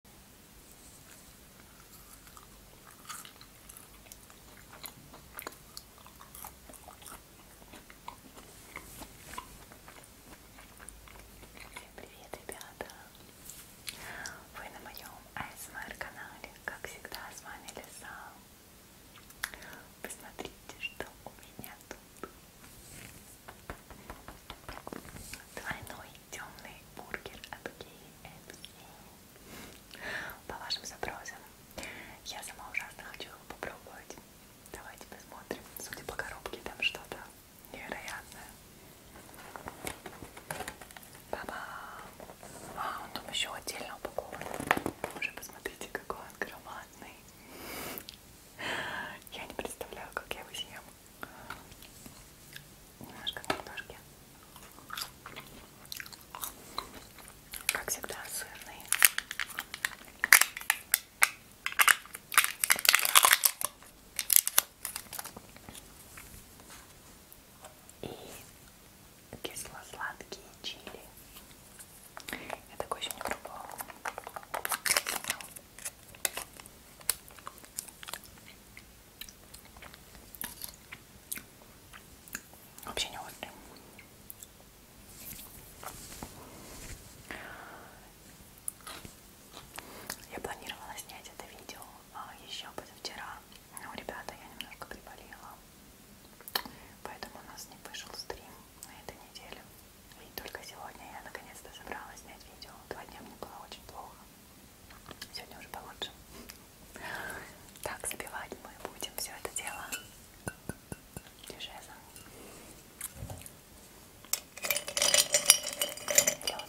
Всем привет, ребята! Вы на моем ASMR канале, как всегда, с вами Лиса. Посмотрите, что у меня тут. Двойной темный бургер от KFC по вашим запросам. Я сама ужасно хочу его попробовать. Давайте посмотрим. Судя по коробке, там что-то невероятное. Ба-бам! А, он там еще отдельно упакован. Уже посмотрите, какой он громадный. Я не представляю, как я его съем немножко картошки. Как всегда, сырный. И кисло-сладкие чили. Я такой еще не пробовала. Вообще не острый. Я планировала снять это видео а, еще позавчера, но, ребята, я немножко приболела, поэтому у нас не вышел стрим на этой неделе. И только сегодня я наконец-то собралась снять видео. Два дня мне было очень плохо. Сегодня уже получше. Так, забивать мы будем все это дело. Дежезом. Лед.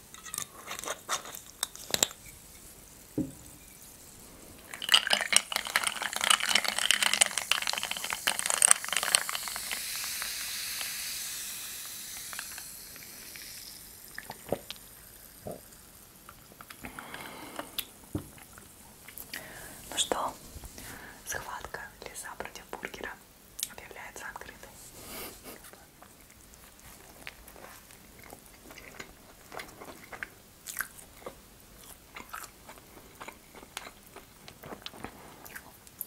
Ну что, схватка леса против бургера объявляется открытой.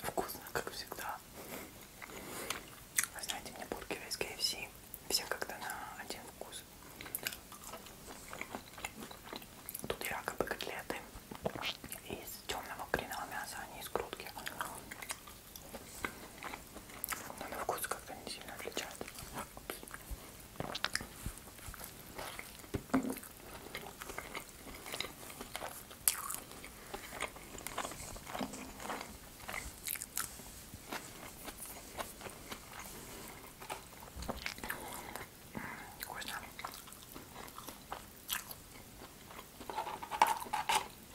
Вкусно, как всегда. Вы знаете, мне бургеры из КФС все как-то на один вкус. Тут якобы котлеты из темного куриного мяса, а не из грудки. Но на вкус как-то не сильно отличается. Вкусно.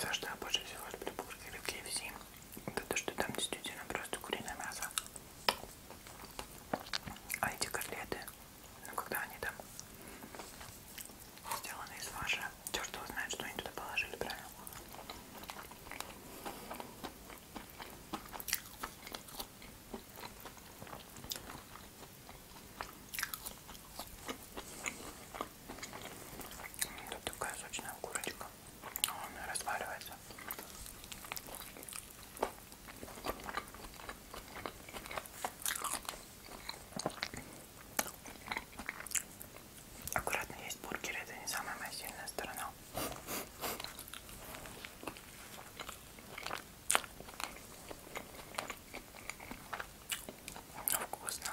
За что я больше всего люблю бургеры в KFC? Это то, что там действительно просто куриное мясо. А эти котлеты, ну когда они там сделаны из фарша, черт его знает, что они туда положили, правильно? Тут такая сочная курочка. Он разваливается. Аккуратно есть бургеры, это не самая моя сильная сторона. Но ну, вкусно.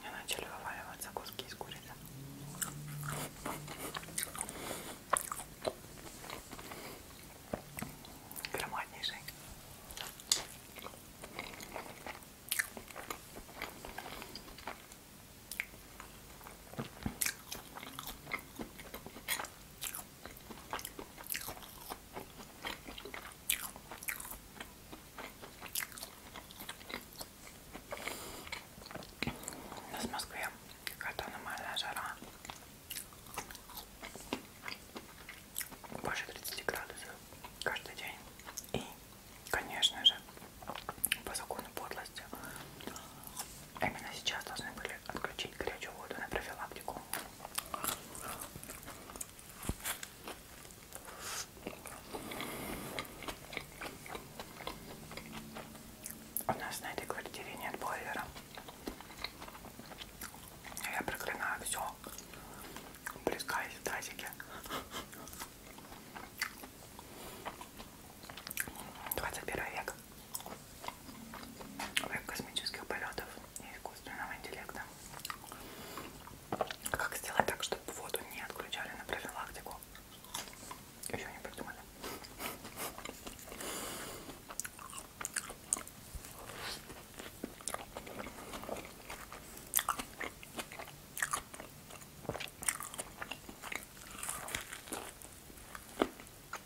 Мне начали вываливаться куски из курицы. Громаднейший. У нас в Москве какая-то аномальная жара. Больше 30 градусов каждый день. И, конечно же, по закону подлости, именно сейчас должны были отключить горячую воду на профилактику. У нас на этой квартире нет бойлера. Я проклинаю все. Плескаюсь в тазике. Двадцать первый век космических полетов и искусственного интеллекта. Как сделать так, чтобы воду не отключали на профилактику? Еще не придумали.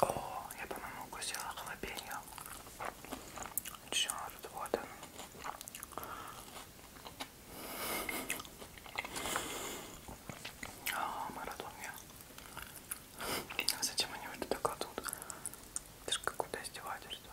О, я, по-моему, укусила халапеньо. Черт, вот он. А, Марадонья. А зачем они вот это кладут? Это же какое-то издевательство.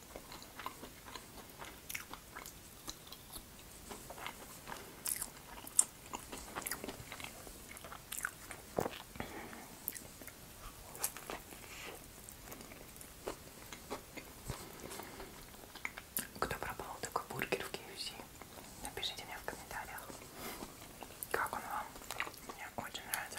Кто пробовал такой бургер в KFC? Напишите мне в комментариях, как он вам. Мне очень нравится.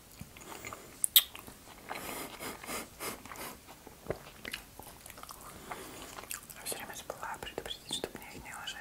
Я все время забываю предупредить, чтобы мне их не ложили.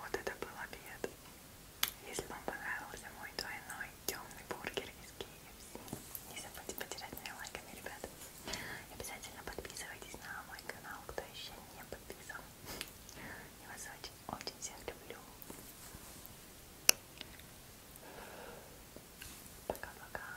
Вот это был обед. Если вам понравился мой двойной темный бургер из KFC, не забудьте поддержать меня лайками, ребята. И обязательно подписывайтесь на мой канал, кто еще не подписан. Я вас очень, очень всех люблю. Пока-пока.